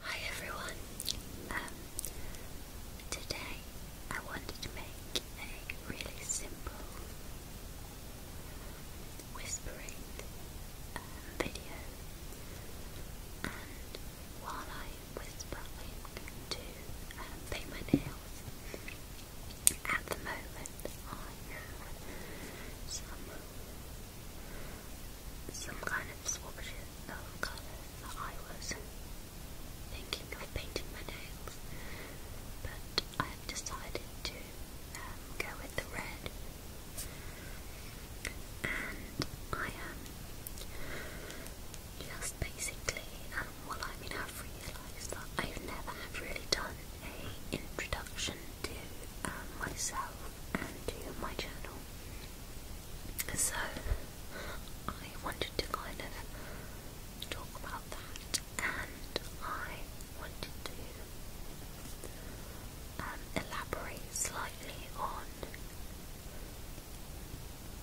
Hi everyone. Um, today I wanted to make a really simple whispering um, video, and while I whisper, I'm going to um, paint my nails. At the moment, I have some some kind of swatch of colours I was thinking of painting my nails, but I have decided to um, go with the red. And I am just basically, and um, well, I mean, I've realised that I have never have really done a introduction to um, myself to my channel. So I wanted to kind of talk about that and I wanted to um, elaborate slightly on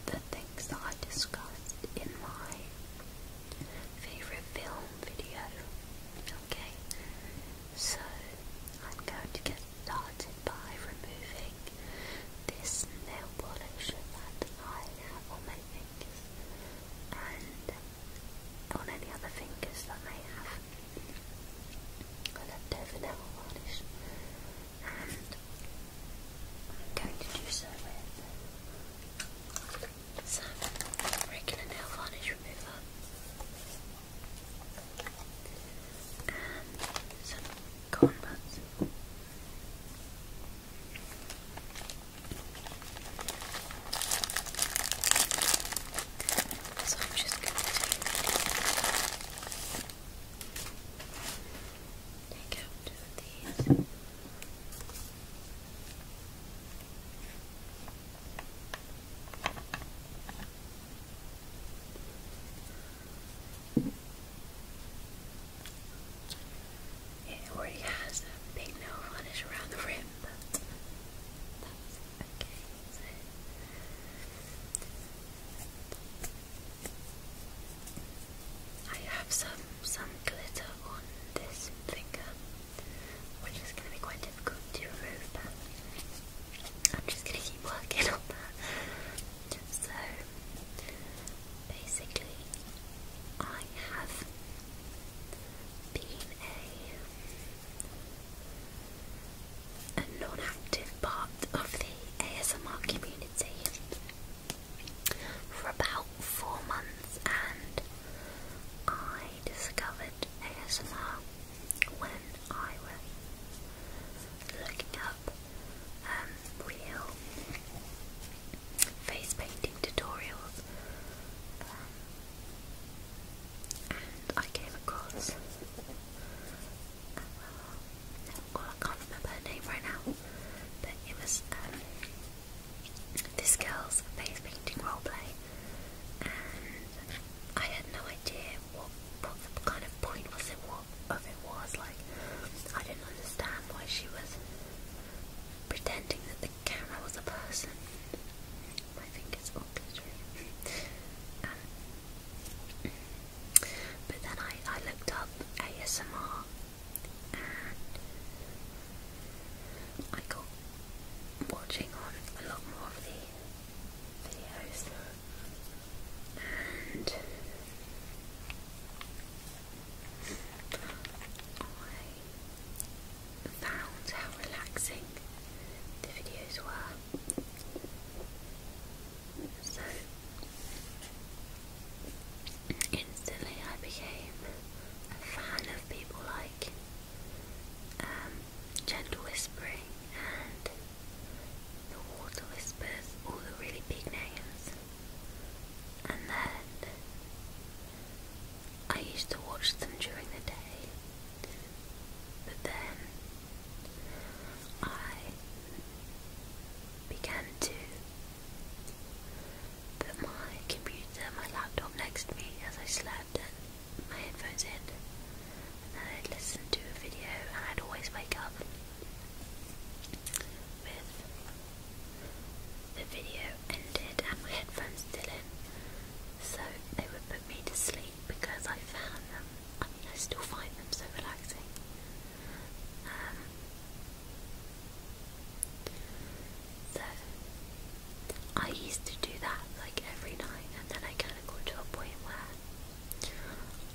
the things that I discussed in my favourite film video. Okay, so I'm going to get started by removing this nail polish that I have on my fingers and on any other fingers that I have. I nail polish and I'm going to do so with some regular nail varnish remover and some cornrows. So I'm just going to take out two of these. It already has a big nail varnish around the rim, I have some some glitter on this finger, which is going to be quite difficult to remove, I'm just gonna keep working on that. So basically, I have been a, a non-active part of the ASMR community for about four months, and I discovered ASMR when I was looking up um, real face painting tutorials, um, and I came across. I can't remember her name right now, but it was um, this girl's face painting role play. I had no idea what, what kind of point was it, what of it was. Like, I didn't understand why she was pretending that the camera was a person. My fingers all glittery. Um, but then I, I looked up ASMR and I got watching on a lot more of the videos. And I found how relaxing the videos were. So instantly I became a fan of people like um, gentle whispering and the water whispers all the really big names. And then I used to watch them during the day. But then I began to put my computer, my laptop next to me as I slept and my headphones in and I'd listen to a video and I'd always wake up with the video ended and my headphones still in so they would put me to sleep because I found them, I mean I still find them so relaxing um, so I used to do that like every night and then I kind of got to a point where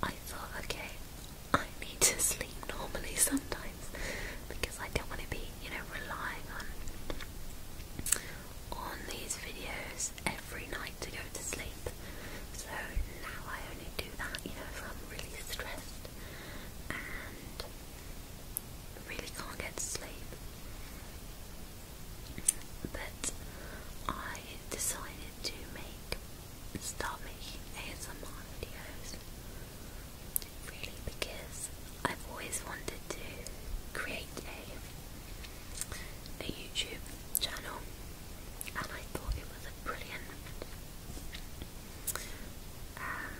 I thought, okay, I need to sleep normally sometimes because I don't want to be, you know, relying on on these videos every night to go to sleep. So now I only do that, you know, if I'm really stressed and really can't get to sleep. But I decided to make start making ASMR videos really because I've always wanted to create a a YouTube channel and I thought it was a brilliant um,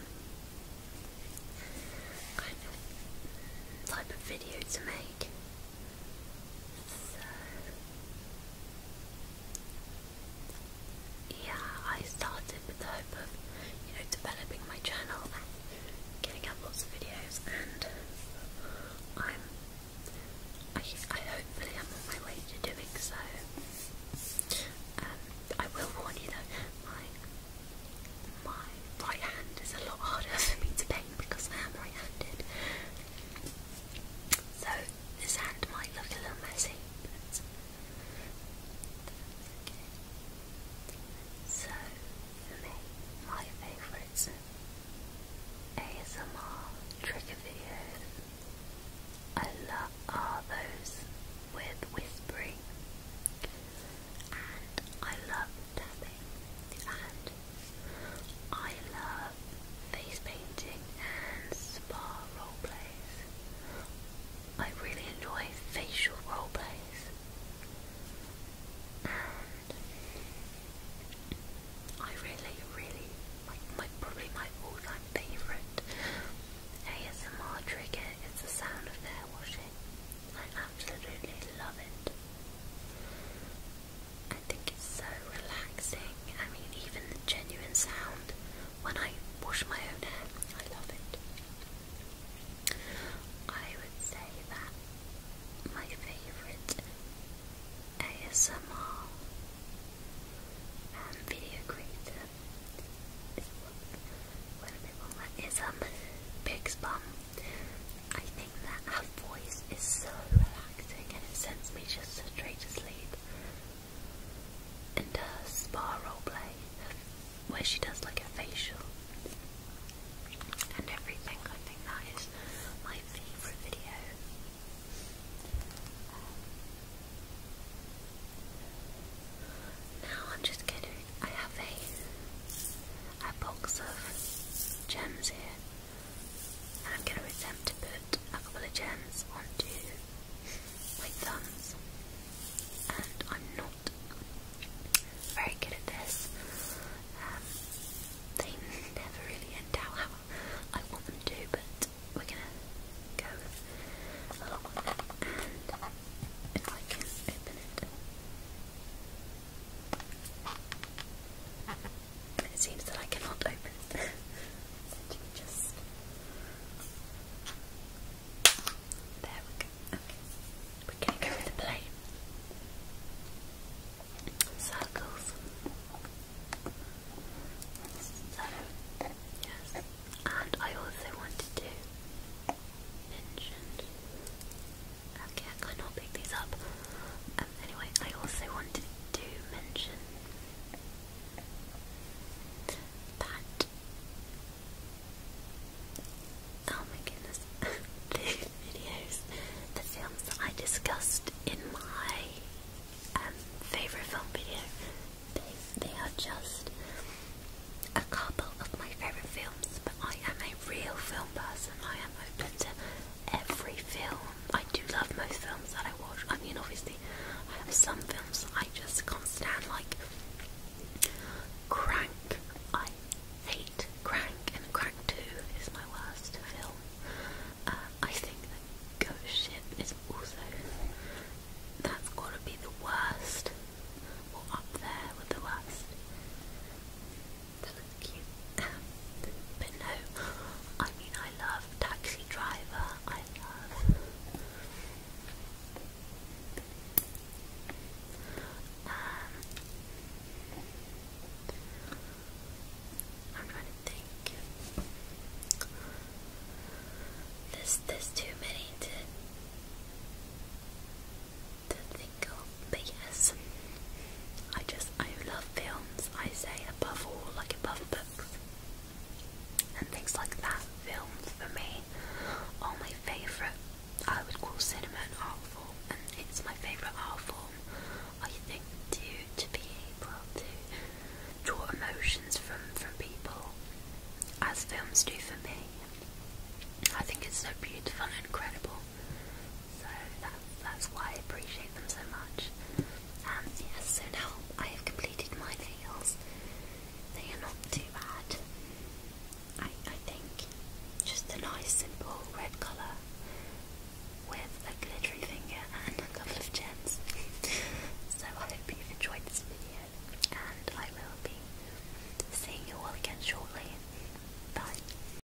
kind of type of video to make yeah, I started with the hope of, you know, developing my channel and getting out lots of videos, and I'm, I, I hopefully am on my way to doing so. Um, I will warn you though, my, my right hand is a lot harder for me to paint because I am right-handed, so this hand might look a little messy, but So for me, my favourites ASMR trigger videos. I love are those with whispering, and I love and I love face painting and spa role plays. I really enjoy facial role plays, and I really, really my probably my all-time favorite ASMR trigger is the sound of hair washing. I absolutely love it. I think it's so relaxing. I mean, even the genuine sound when I wash my own hair, I love it. I would say that my favourite ASMR um, video creator is, whatever one that is, um, Pigs Bum that her voice is so relaxing and it sends me just straight to sleep. And her spa roleplay, where she does like a facial and everything, I think that is my favourite video. Um, now I'm just kidding. I have a a box of gems here. I'm going to attempt to put a couple of gems onto my thumbs. And I'm not very good at this. Um, they never really end out how I want them to, but we're gonna go along And if I can open it, it seems that I cannot open just. There we go. We're going to go with the plane. Circles. So, yes. And I also wanted to mention Okay, I cannot pick these up. Um, anyway, I also wanted to mention that. Oh my goodness, the videos, the films that I discussed in my um, favourite film video, they, they are just a couple of my favourite films, but I am a real film person, I am open to every film. I do love most films that I watch. I mean, obviously, I have some films I just can't stand, like Crank. I hate Crank, and Crank 2 is my worst film. Uh, I think that Ghost Ship is also. That's gotta be the worst, or up there with the worst that was cute. but no, I mean I love Taxi Driver. I love. Um, I'm trying to think. There's there's too many to to but yes, I just I love films. I say above all, like above books and things like that. Films for me are my favourite. I would call cinema an art form, and it's my favourite art form. I think to to be able to draw emotions from from people as films do for me. I think it's so beautiful and incredible. So that's why I appreciate them so much. Um, yes, so now I have completed my nails. They are not too bad. I, I think just a nice simple red colour with a glittery finger and a couple of gems. so I hope you've enjoyed this video and I will be seeing you all again shortly. Bye.